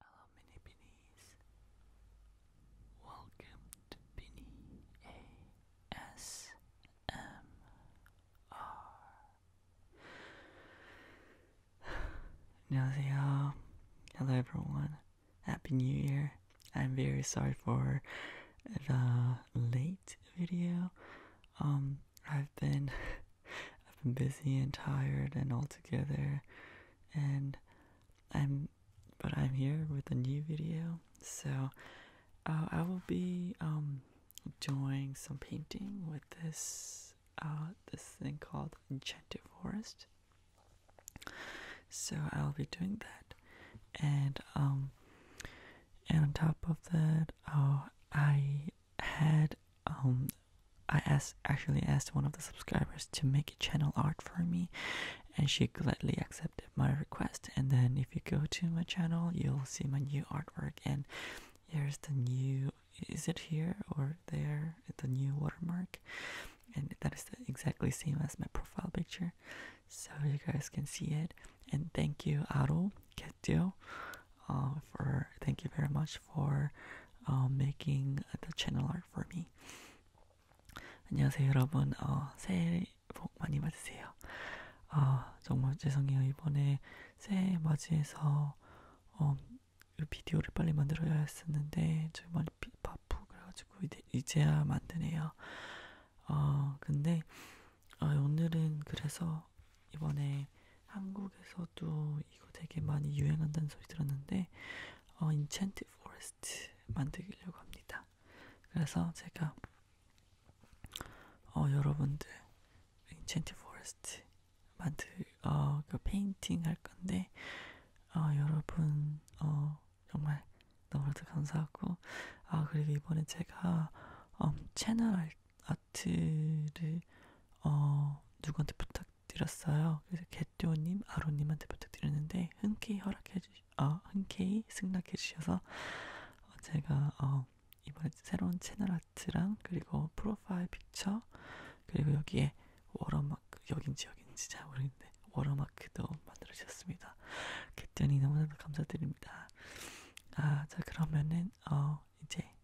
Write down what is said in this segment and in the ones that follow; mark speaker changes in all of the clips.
Speaker 1: Hello, mini beanies. Welcome to Beanie ASMR. 안녕하세요. Hello, everyone. Happy New Year. I'm very sorry for the late video. Um, I've been I've been busy and tired and all together and I'm but I'm here with a new video. So uh, I will be um, doing some painting with this uh, this thing called Enchanted Forest. So I'll be doing that and um, and on top of that uh, I had um, I asked actually asked one of the subscribers to make a channel art for me, and she gladly accepted my request. And then if you go to my channel, you'll see my new artwork. And here's the new is it here or there the new watermark, and that is exactly same as my profile picture, so you guys can see it. And thank you, Aru Ketio, uh, for thank you very much much for uh, making the channel art for me. 안녕하세요 여러분. 어, 새해 복 많이 받으세요. 아 정말 죄송해요 이번에 새해 맞이해서 어, 비디오를 빨리 만들어야 했었는데 저희 많이 바쁘 그래가지고 이제, 야 만드네요. 어 근데 아, 오늘은 그래서 이번에 한국에서도 이거 되게 많이 유행한다는 소리 들었는데 어, 인첸트 포레스트 만들려고 합니다. 그래서 제가 어, 여러분들 인첸트 포레스트 만들 어, 그 페인팅 할 건데 어, 여러분 어, 정말 너무나도 감사하고 아 그리고 이번에 제가 어, 채널 할 아트를 어, 누구한테 부탁드렸어요. 그래서 개띠오님, 아로님한테 부탁드렸는데 흔쾌히 허락해 주시, 어, 흔쾌히 승낙해 주셔서 제가 어, 이번에 새로운 채널 아트랑 그리고 프로파일 픽처 그리고 여기에 워러마크 여긴지 여긴지 잘 모르겠는데 워러마크도 만들어 주셨습니다. 개띠오님 너무나도 감사드립니다. 아, 자 그러면은 어 이제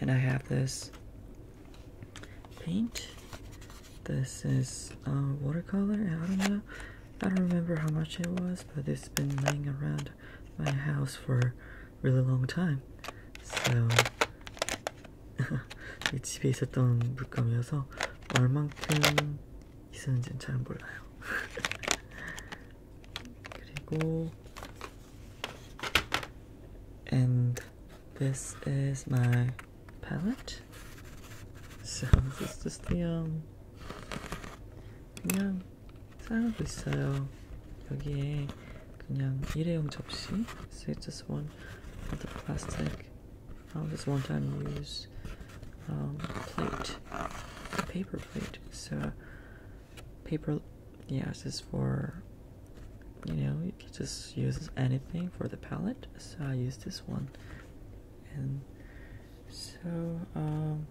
Speaker 1: and I have this paint. This is watercolor. I don't know. I don't remember how much it was, but it's been laying around my house for a really long time. So 집에 있었던 물감이어서 얼만큼 있었는지는 잘 몰라요. and this is my palette. So this is the um 그냥 사용하고 있어요. 여기에 그냥 일회용 접시. So it's just one of the plastic. Um, just one time use um, plate, paper plate. So paper yeah this for you know you just uses anything for the palette so I use this one and so um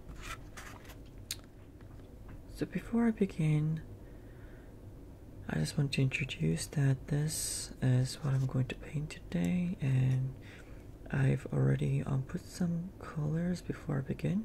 Speaker 1: so before I begin I just want to introduce that this is what I'm going to paint today and I've already um, put some colors before I begin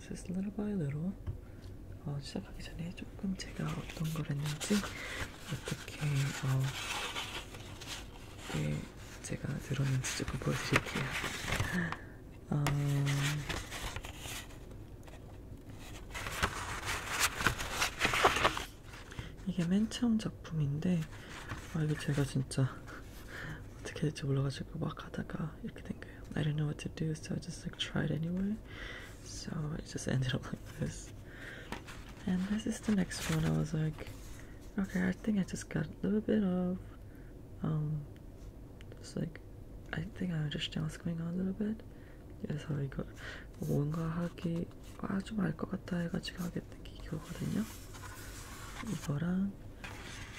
Speaker 1: just little by little 어, 시작하기 전에 조금 제가 어떤 걸 했는지 어떻게 어, 네, 제가 들었는지 조금 보여드릴게요. 어, 이게 맨 처음 작품인데 아 이거 제가 진짜 I do not know what to do, so I just like tried anyway. So it just ended up like this. And this is the next one. I was like, okay, I think I just got a little bit of, um, just like, I think I understand what's going on a little bit. 그래서 이걸 뭔가 하기 아주 알것 같아 해가지고 하게 된게 이거거든요. 이거랑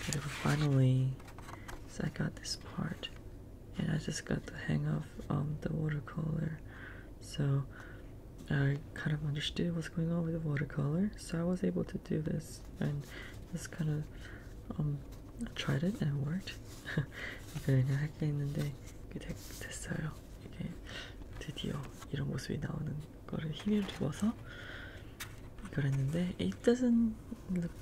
Speaker 1: 그리고 finally so I got this part, and I just got the hang of um, the watercolor. So I kind of understood what's going on with the watercolor. So I was able to do this, and just kind of um, tried it and it worked. 그래 그냥 할게 있는데 그게 되, 됐어요. 이게 it doesn't look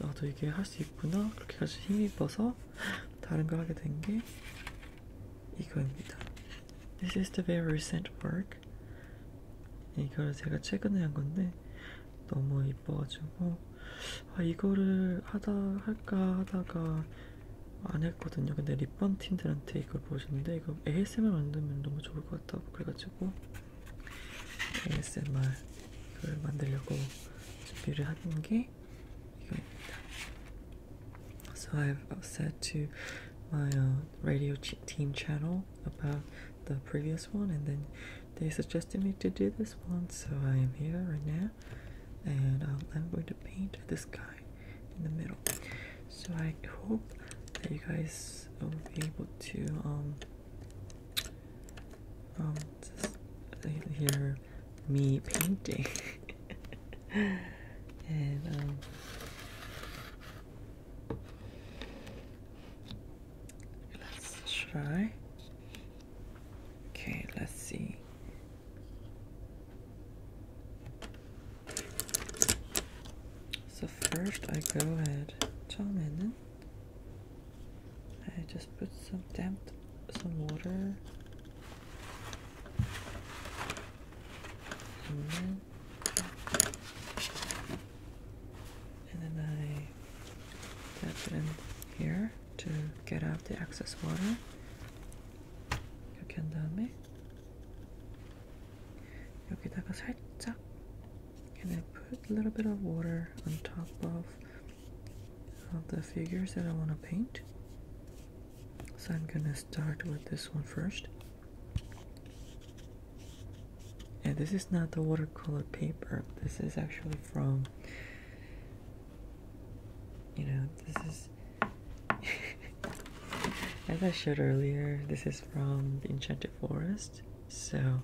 Speaker 1: 나도 아, 이게 할 수 있구나 그렇게 해서 힘입어서 다른 걸 하게 된 게 이거입니다. This is the very recent work. 이걸 제가 최근에 한 건데 너무 이뻐가지고 아, 이거를 하다 할까 하다가 안 했거든요. 근데 립밤 팀들한테 이걸 보여줬는데 이거 ASMR 만들면 너무 좋을 것 같다고 그래가지고 ASMR 그걸 만들려고 준비를 So I've said to my uh, radio team channel about the previous one, and then they suggested me to do this one, so I am here right now, and I'm going to paint this guy in the middle. So I hope that you guys will be able to um, um, just hear me painting, and um, let's try. Okay, let's see. So first, I go ahead. 처음에는 I just put some damp, some water, and then, I tap it in here to get out the excess water. 이렇게 한 다음에 여기다가 살짝 and I put a little bit of water on top of, of the figures that I want to paint so I'm gonna start with this one first and this is not the watercolor paper this is actually from you know this is as I showed earlier this is from the enchanted forest so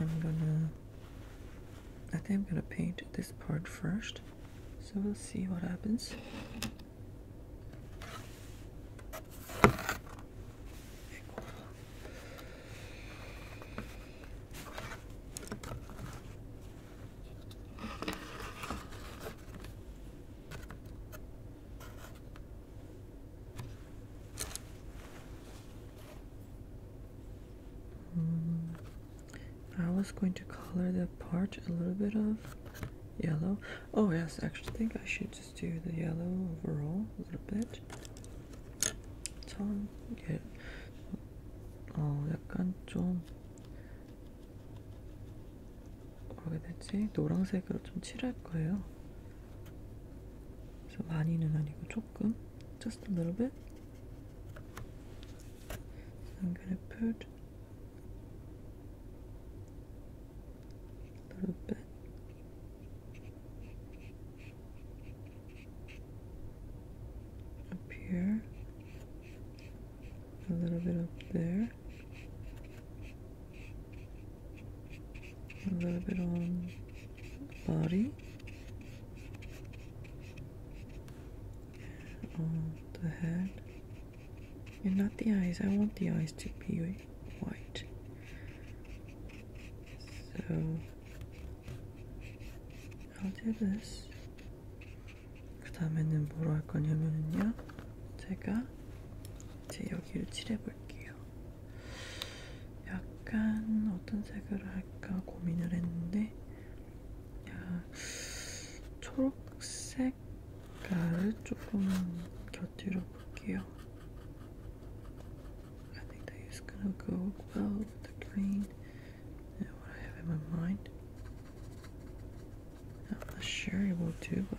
Speaker 1: I am gonna. I think I'm gonna paint this part first, so we'll see what happens. Mm. I was going to color the part a little bit of yellow. Oh yes, actually think I should just do the yellow overall a little bit. 참, 예, 어, 약간 좀, 뭐라 해야 되지? 노란색으로 좀 칠할 거예요. 그래서 많이는 아니고 조금, just a little bit. I'm gonna put a little bit up here, a little bit up there, a little bit on body, on the head, and not the eyes. I want the eyes to be white. So I'll do this. 그 다음에는 뭐로 할 거냐면요. 제가 이제 여기를 칠해볼게요. 약간 어떤 색을 할까 고민을 했는데, 야, 초록색 가를 조금 곁들여 볼게요. I think that is gonna go well with the green and what I have in my mind. I'm not sure it will do, but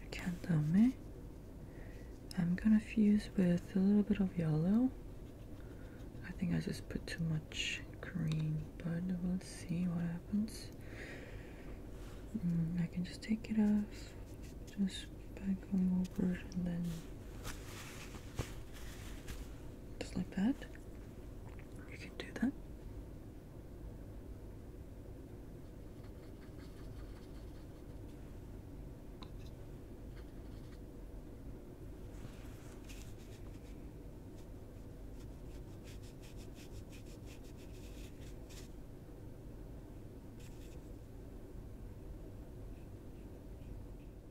Speaker 1: 이렇게 한 다음에 I'm gonna fuse with a little bit of yellow. I think I just put too much green, but we'll see what happens. Mm, I can just take it off, just by and then just like that. You can do that.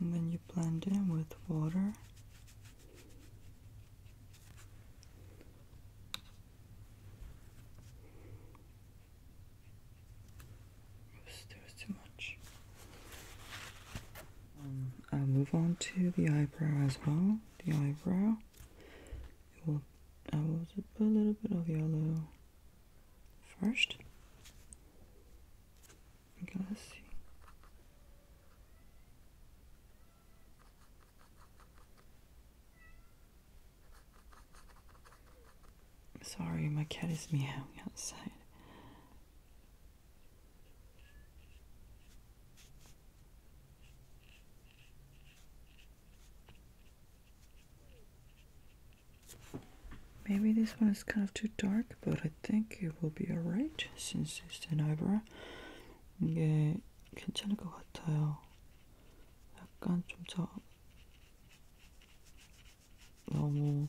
Speaker 1: and then you blend in with water Oops, there too much um, I'll move on to the eyebrow as well the eyebrow. I will put a little bit of yellow first. Okay, let's see. Sorry, my cat is meowing outside. Maybe this one is kind of too dark, but I think it will be alright since it's an eyebrow. 이게 괜찮을 것 같아요. 약간 좀 저, 너무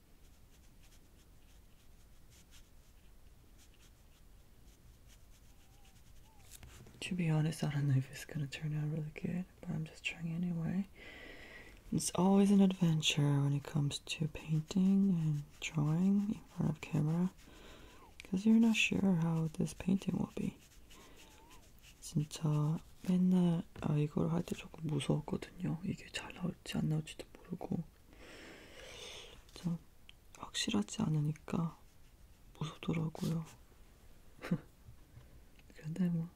Speaker 1: To be honest, I don't know if it's gonna turn out really good, but I'm just trying anyway. It's always an adventure when it comes to painting and drawing in front of camera because you're not sure how this painting will be. Since uh, 맨날 아 이걸 할 때 조금 무서웠거든요. 이게 잘 나올지 안 나올지도 모르고 참 확실하지 않으니까 무섭더라고요. 그런데 뭐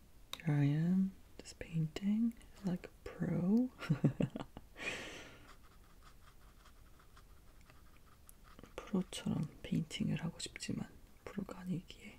Speaker 1: here I am, just painting like a pro. 프로처럼 페인팅을 하고 싶지만 프로가 아니기에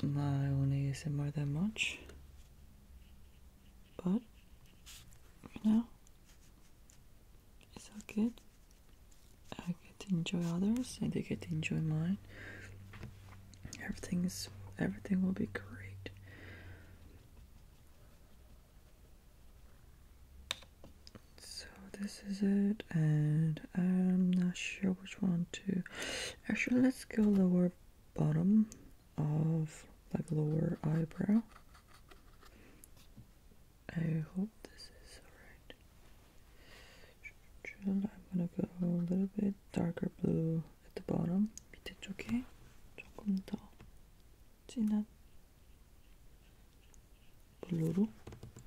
Speaker 1: I want to use it more than much, but you know, it's all good. I get to enjoy others, and they get to enjoy mine. Everything's everything will be great. So this is it, and I'm not sure which one to. Actually, let's go lower bottom of like lower eyebrow. I hope this is alright. I'm gonna go a little bit darker blue at the bottom. 밑에 쪽에 조금 더 진한 블루로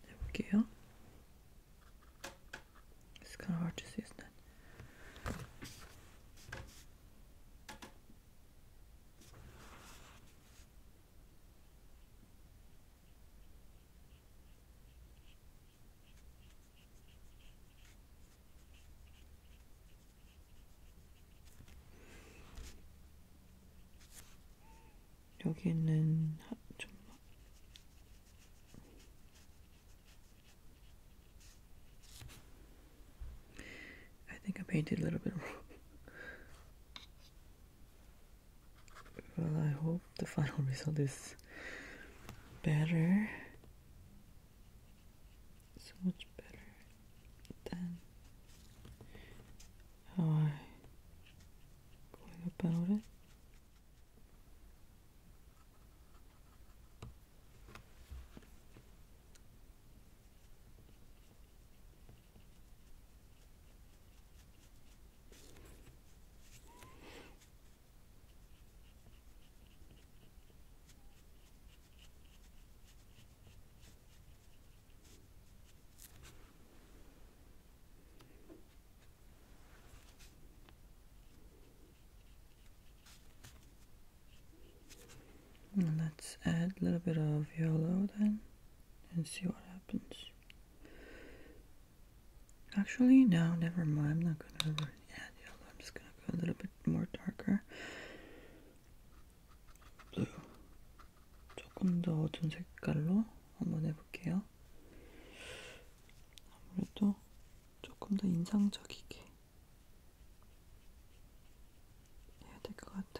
Speaker 1: 해볼게요. It's kind of hard to see, isn't it? I think I painted a little bit wrong. well, I hope the final result is better. So much better than how I'm going about it. Let's add a little bit of yellow then and see what happens. Actually, no, never mind. I'm not going to add yellow. I'm just going to go a little bit more darker blue. 조금 더 어두운 색깔로 한번 해볼게요. 아무래도 조금 더 인상적이게 해야 될 것 같아요.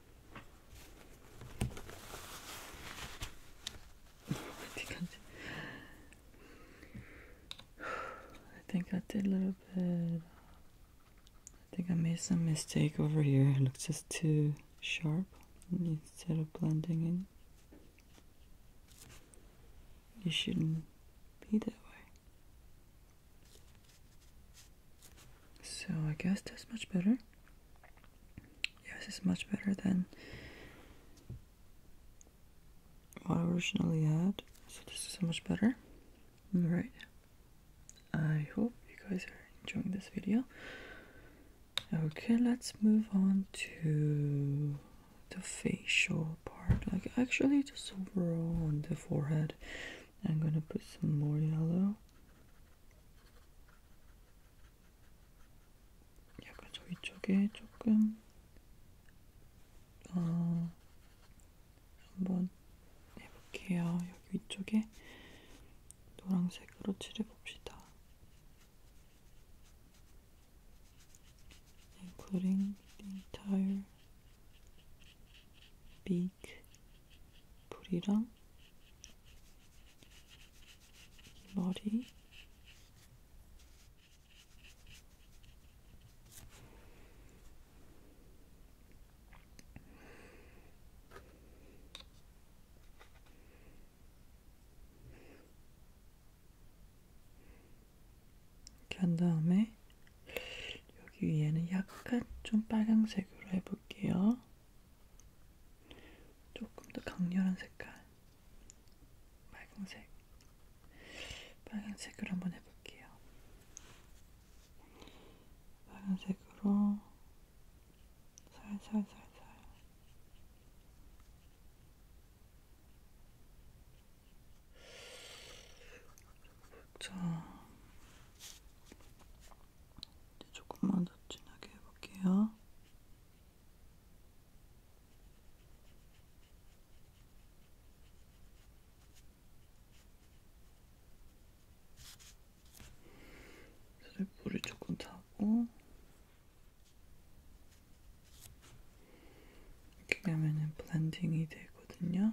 Speaker 1: I think I did a little bit. I think I made some mistake over here. It looks just too sharp instead of blending in. It shouldn't be that way. So I guess that's much better. Yes, it's much better than what I originally had. So this is so much better. Alright. I hope you guys are enjoying this video. Okay, let's move on to the facial part. Like actually just overall on the forehead. I'm gonna put some more yellow. 약간 저희 쪽에 조금 어, 한번 해볼게요. 여기 위쪽에 노란색으로 칠해봅시다. including the entire big 불이랑 머리 이렇게 한 다음에 여기 위에는 약간 좀 빨간색으로 해볼게요. 조금 더 강렬한 색깔 빨강색 빨간색으로 한번 해볼게요. 빨간색으로 살살살살 자 이제 조금만 더 진하게 해볼게요. 그래, 물이 조금 타고 이렇게 하면은 블렌딩이 되거든요.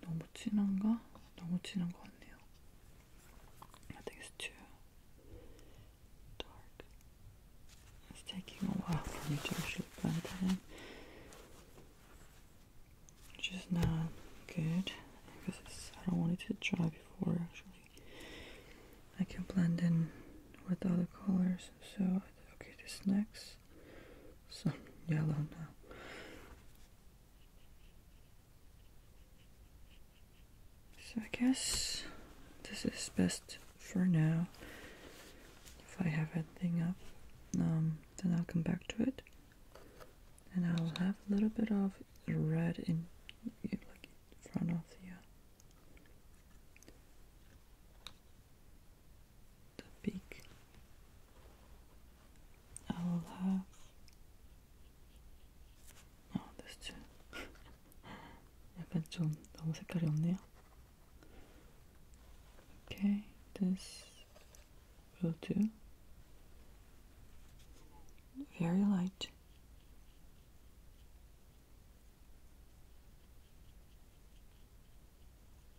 Speaker 1: 너무 진한가? too dark. Which is not good because I don't want it to dry before actually I can blend in with other colors. So okay, this next some yellow now. So I guess this is best for now. If I have anything up, um, then I'll come back to it. And I'll have a little bit of red in, like front of the, the beak. I will have. 아, 도대체. 약간 좀 너무 색깔이 없네요. Okay, this will do. Very light.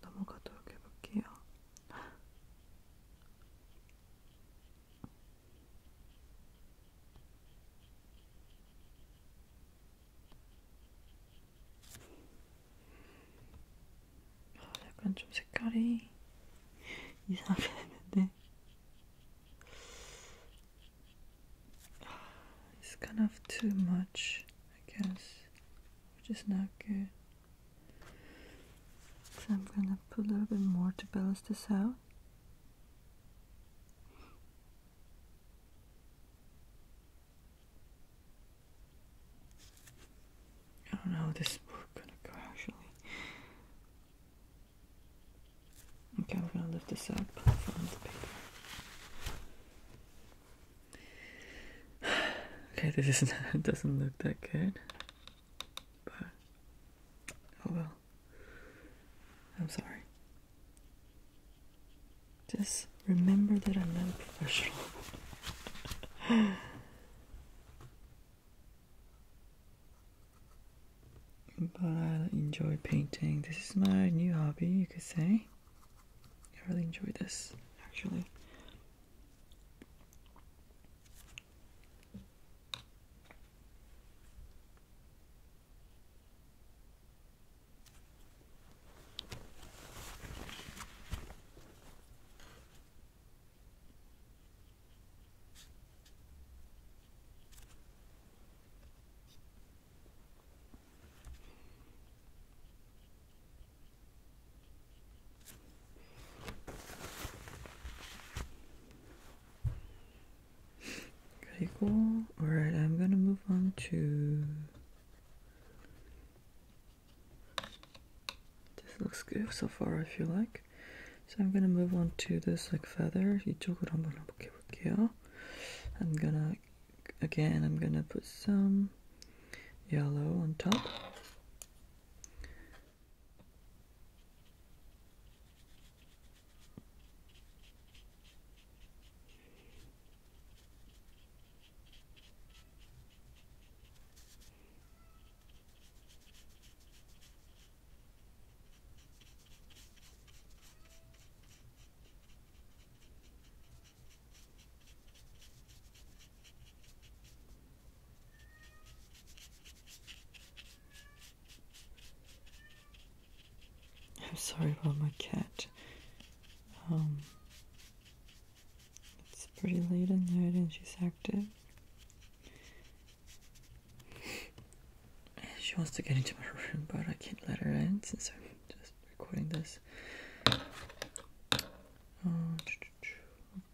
Speaker 1: 넘어가도록 해볼게요. 약간 좀 색깔이 이상하게 It's kind of too much, I guess which is not good. So I'm gonna put a little bit more to balance this out. I don't know how this is gonna go actually. Okay, I'm gonna lift this up from the paper okay, this is not, it doesn't look that good, but oh well. I'm sorry. Just remember that I'm not a professional. but I enjoy painting. This is my new hobby, you could say. I really enjoy this actually. Pretty cool. Alright, I'm gonna move on to. This looks good so far, I feel like. So I'm gonna move on to this like feather. 이쪽으로 한번 볼게요. I'm gonna again I'm gonna put some yellow on top I'm sorry about my cat. Um, it's pretty late at night and she's active. She wants to get into my room, but I can't let her in since I'm just recording this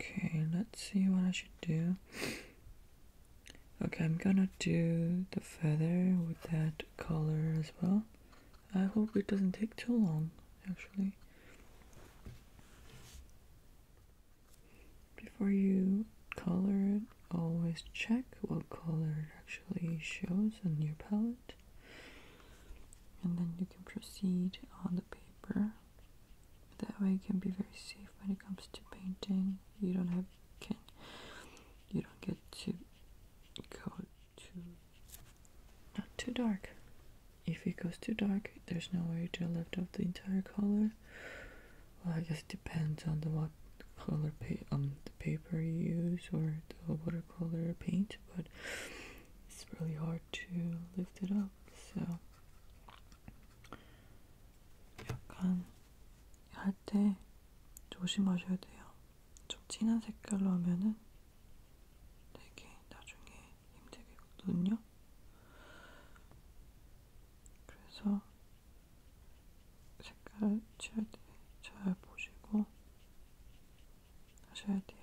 Speaker 1: okay, let's see what I should do. Okay, I'm gonna do the feather with that color as well. I hope it doesn't take too long, actually. Before you color it, always check what color it actually shows on your palette and then you can proceed on the paper that way you can be very safe when it comes to painting you don't have you don't get to go too not too dark if it goes too dark there's no way to lift off the entire color well I guess it depends on the what color pa um the paper you use or the watercolor paint but it's really hard to lift it up. So 약간 할 때 조심하셔야 돼요. 좀 진한 색깔로 하면은 되게 나중에 힘들거든요. 그래서 색깔 칠할 때 잘 보시고 하셔야 돼요.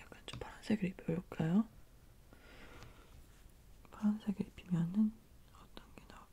Speaker 1: 약간 좀 파란색을 입혀볼까요? 파란색을 입히면은 어떤 게 나올까요?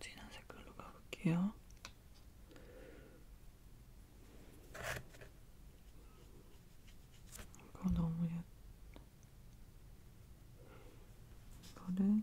Speaker 1: 진한 색깔로 가볼게요. 이거 너무 예. 이거를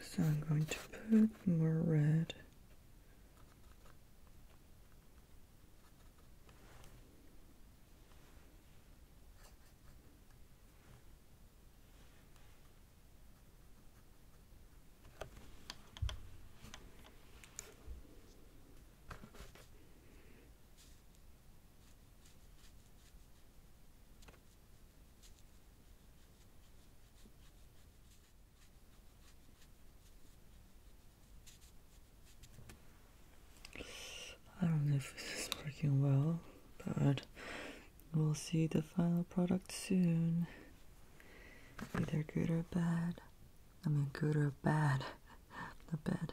Speaker 1: So I'm going to put more red. I don't know if this is working well, but we'll see the final product soon. Either good or bad. I mean, good or bad. Not bad.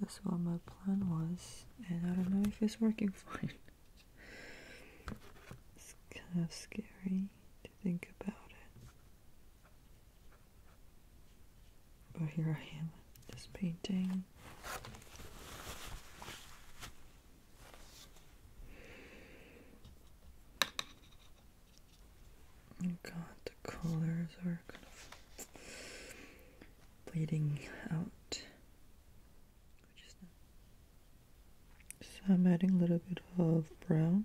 Speaker 1: That's what my plan was, and I don't know if it's working fine. it's kind of scary to think about it. But here I am, just painting. Oh God, the colors are kind of bleeding out. So I'm adding a little bit of brown.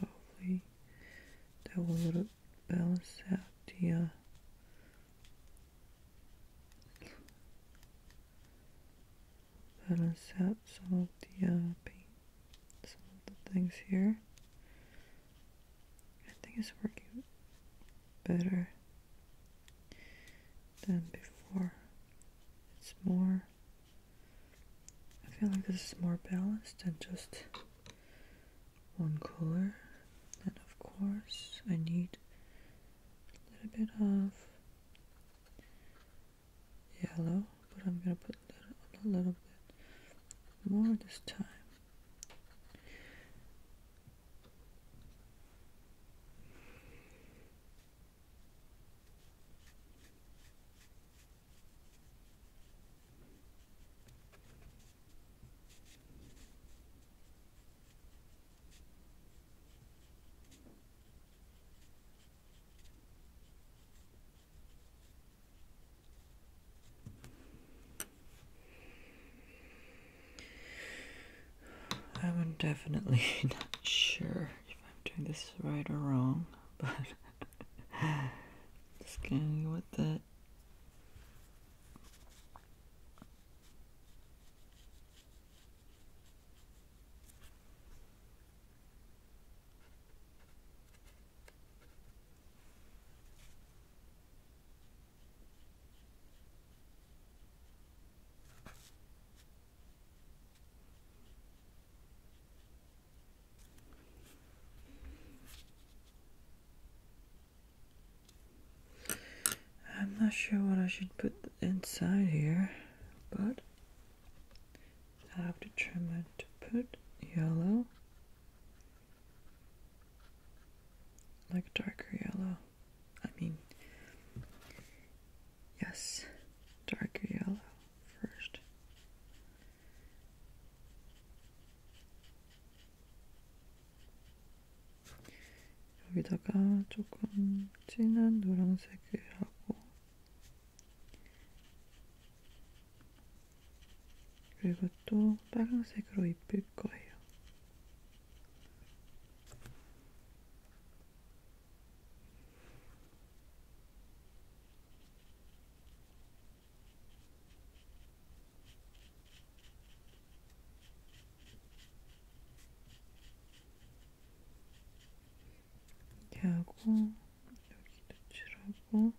Speaker 1: Hopefully that will a little balance out the uh, balance out some of the uh, some things here. I think it's working better than before. It's more, I feel like this is more balanced than just one color. And of course, I need a little bit of yellow but I'm gonna put a little, a little bit more this time I'm definitely not sure if I'm doing this right or wrong, but just going with it. I'm not sure what I should put inside here, but I've to determined to put yellow, like darker yellow. I mean, yes, darker yellow first. 여기다가 조금 진한 노란색을 하고 그리고 또 빨간색으로 입힐 거예요. 이렇게 하고 여기 노출하고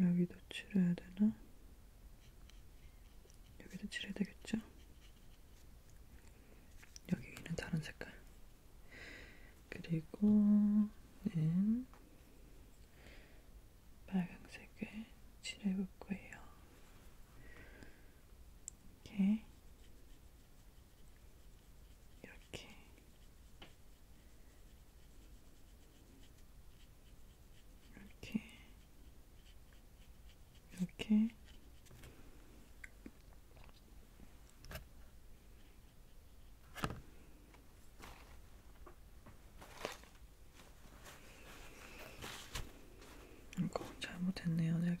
Speaker 1: 여기 노출해야 되나? 여기 노출해야 되겠죠? 여기 위는 다른 색깔 그리고 는 빨강색을 칠해볼 거예요. 이렇게 이렇게 이렇게 이렇게 이거 잘못했네요 제가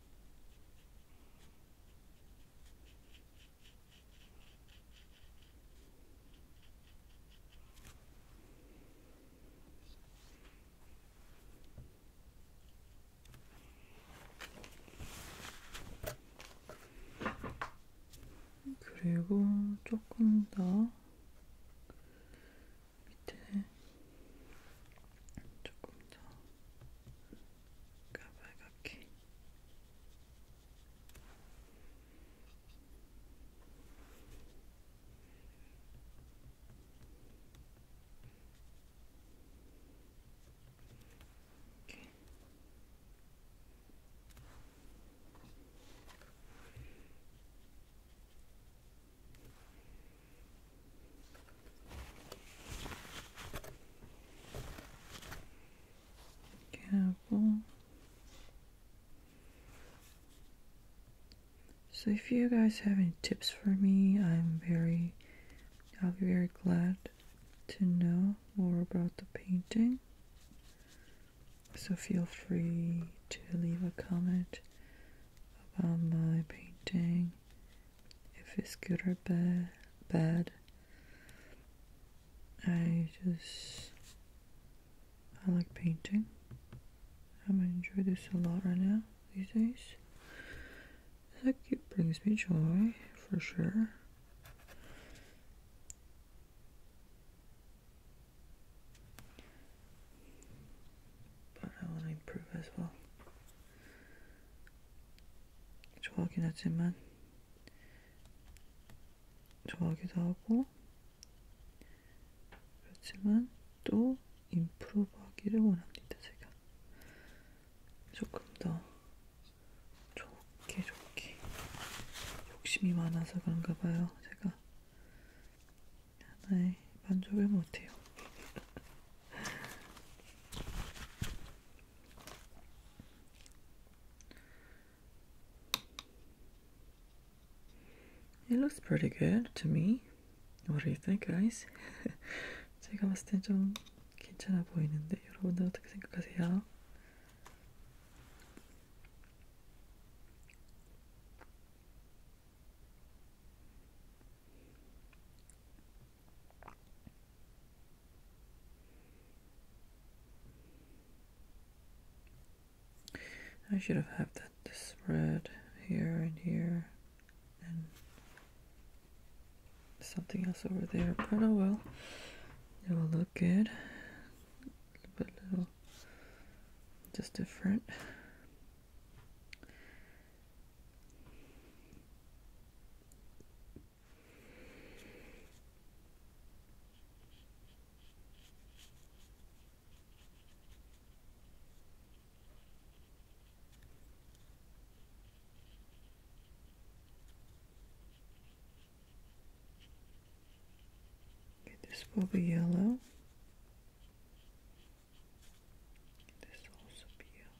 Speaker 1: 그리고 조금 더 밑에 조금 더 go back, okay. Okay. Careful. So if you guys have any tips for me, I'm very I'll be very glad to know more about the painting. So feel free to leave a comment about my painting if it's good or ba bad. I just I like painting. I'm enjoying this a lot right now these days. It's like it brings me joy for sure. But I want to improve as well. 좋아하긴 하지만 좋아하기도 하고 그렇지만 또 인프로브하기를 원합니다 제가 조금 더 좋게 좋게 욕심이 많아서 그런가 봐요 제가 하나에 만족을 못해요 It looks pretty good to me. What do you think, guys? 제가 봤을 땐좀 괜찮아 보이는데 여러분들 어떻게 생각하세요? I should have had that this red here and here and something else over there but oh well it will look good but little just different this will be yellow. This also be yellow.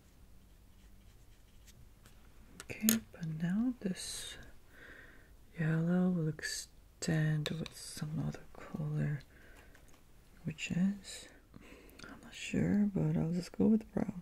Speaker 1: Okay, but now this yellow will extend with some other color, which is, I'm not sure, but I'll just go with brown.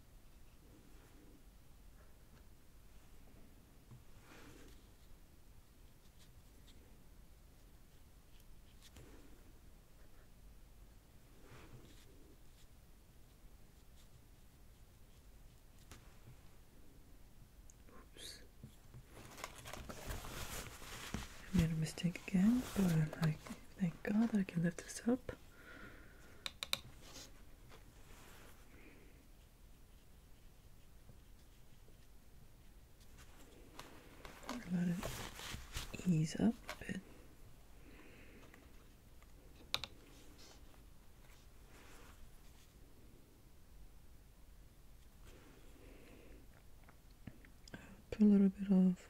Speaker 1: Oops. I made a mistake again, but I, thank God I can lift this up. Let it ease up a bit. Put a little bit off.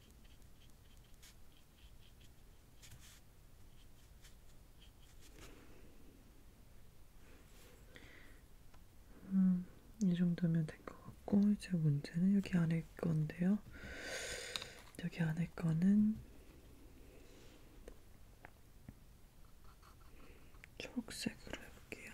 Speaker 1: 음, 이 정도면 된것 같고 이제 문제는 여기 안에 건데요. 여기 안에 거는 초록색으로 해볼게요.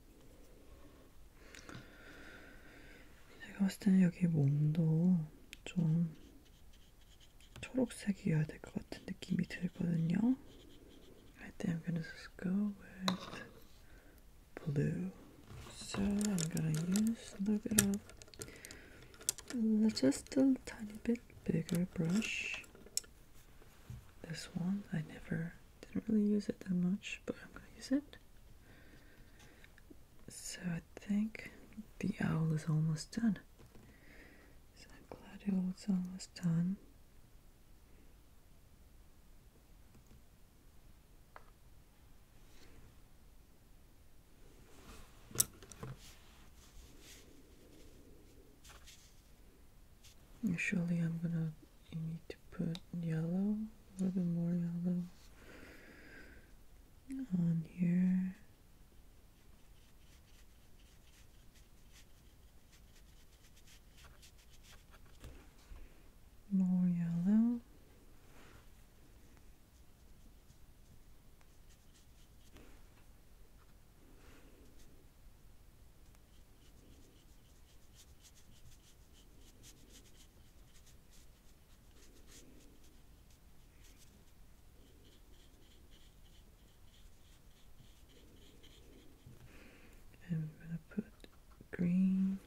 Speaker 1: I think I'm gonna just go with blue. So I'm gonna use a little bit of just a tiny bit bigger brush. This one I never didn't really use it that much, but I'm gonna use it. So I think the owl is almost done. So I'm glad the almost done. Surely I'm gonna you need to put yellow, a little bit more yellow on here. More yellow. And we going to put green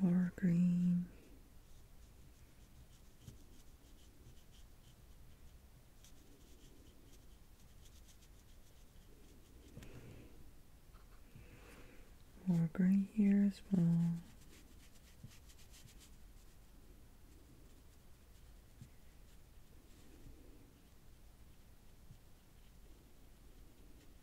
Speaker 1: more green. More green here as well.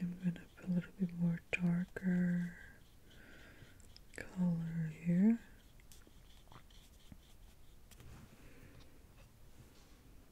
Speaker 1: I'm going to put a little bit more darker color here.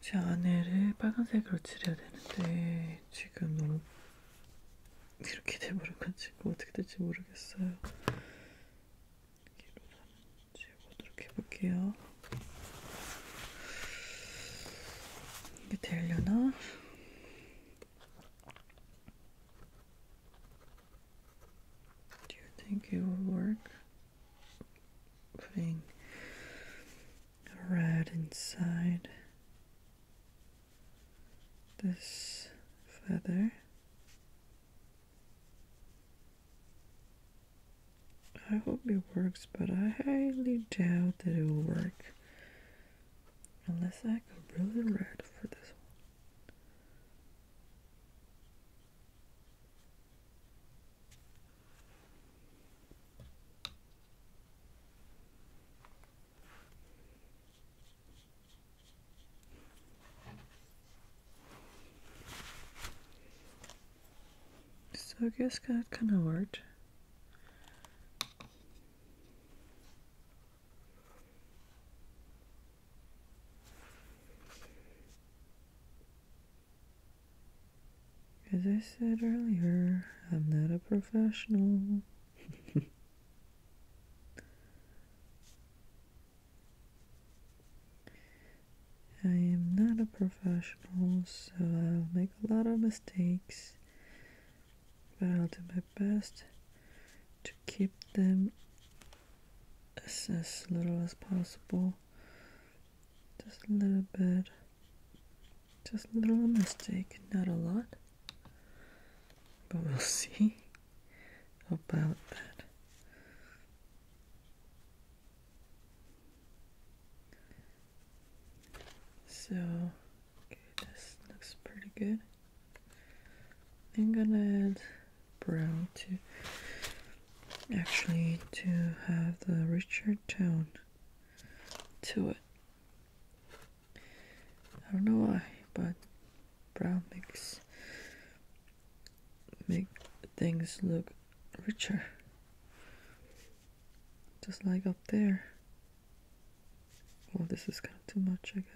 Speaker 1: 제 안에를 빨간색으로 칠해야 되는데 지금 너무 이렇게 돼버려가지고 어떻게 될지 모르겠어요. 이렇게 지워보도록 해볼게요. 이게 되려나? Do you think it will work? Putting red inside. this feather. I hope it works, but I highly doubt that it will work. Unless I go really red for this one. So I guess that kind of worked. As I said earlier, I'm not a professional. I am not a professional, so I'll make a lot of mistakes, but I'll do my best to keep them as, as little as possible. Just a little bit, just a little mistake, not a lot. But we'll see about that. So, okay, this looks pretty good. I'm gonna add brown to actually to have the richer tone to it. I don't know why, but brown makes make things look richer. Just like up there. Well, this is kind of too much, I guess.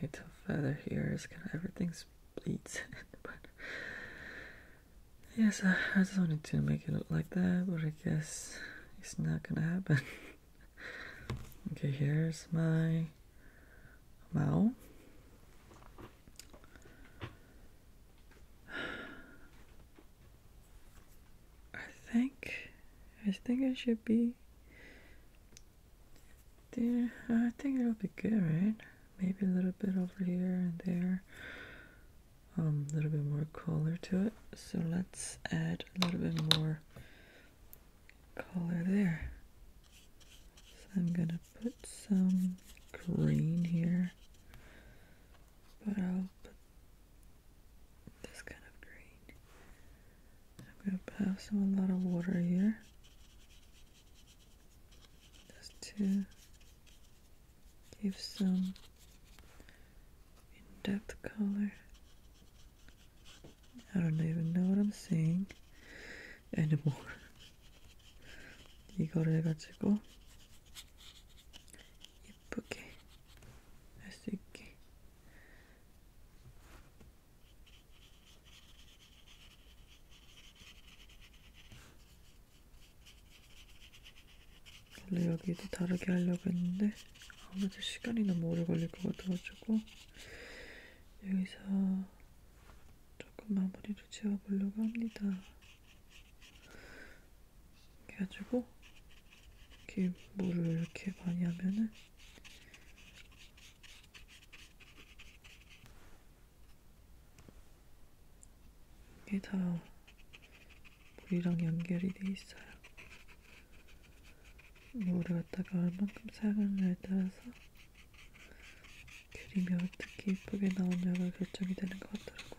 Speaker 1: Okay, tough feather here is kind of everything's bleeds, but Yes, I, just wanted to make it look like that, but I guess it's not gonna happen. okay, here's my Mao. I think I think I should be there. I think it'll be good, right? Maybe a little bit over here and there. Um, a little bit more color to it. So let's add a little bit more color there. So I'm gonna put some green here, but I'll put this kind of green. I'm gonna have some a lot of water here just to give some in-depth color. I don't even know what I'm saying anymore. 이거를 해가지고 예쁘게 할수 있게 원래 여기도 다르게 하려고 했는데 아무래도 시간이 너무 오래 걸릴 것 같아가지고 여기서 조금 마무리를 지어보려고 합니다. 그래가지고 이렇게 물을 이렇게 많이 하면은 이게 다 물이랑 연결이 돼 있어요. 물을 갖다가 얼만큼 사용하느냐에 따라서 그림이 어떻게 예쁘게 나오냐가 결정이 되는 것 같더라고요.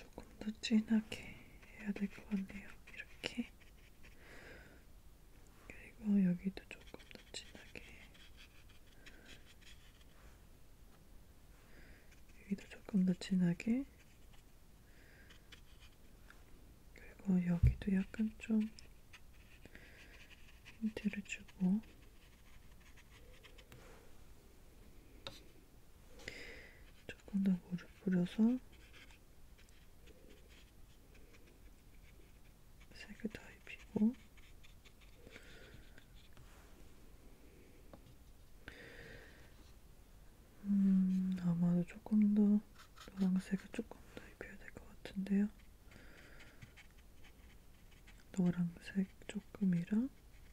Speaker 1: 조금 더 진하게 해야 될 것 같네요. 이렇게. 그리고 여기도 조금 더 진하게. 여기도 조금 더 진하게. 그리고 여기도 약간 좀 힌트를 주고. 조금 더 물을 뿌려서 색을 다 입히고 음, 아마도 조금 더 노란색을 조금 더 입혀야 될 것 같은데요. 노란색 조금이랑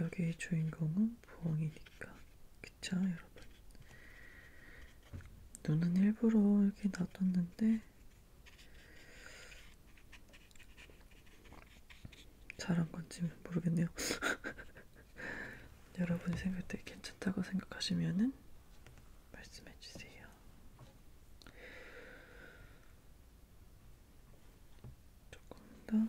Speaker 1: 여기의 주인공은 부엉이니까 그쵸 여러분 눈은 일부러 이렇게 놔뒀는데 잘한 건지 모르겠네요 여러분이 생각 때 괜찮다고 생각하시면은 말씀해 주세요 조금 더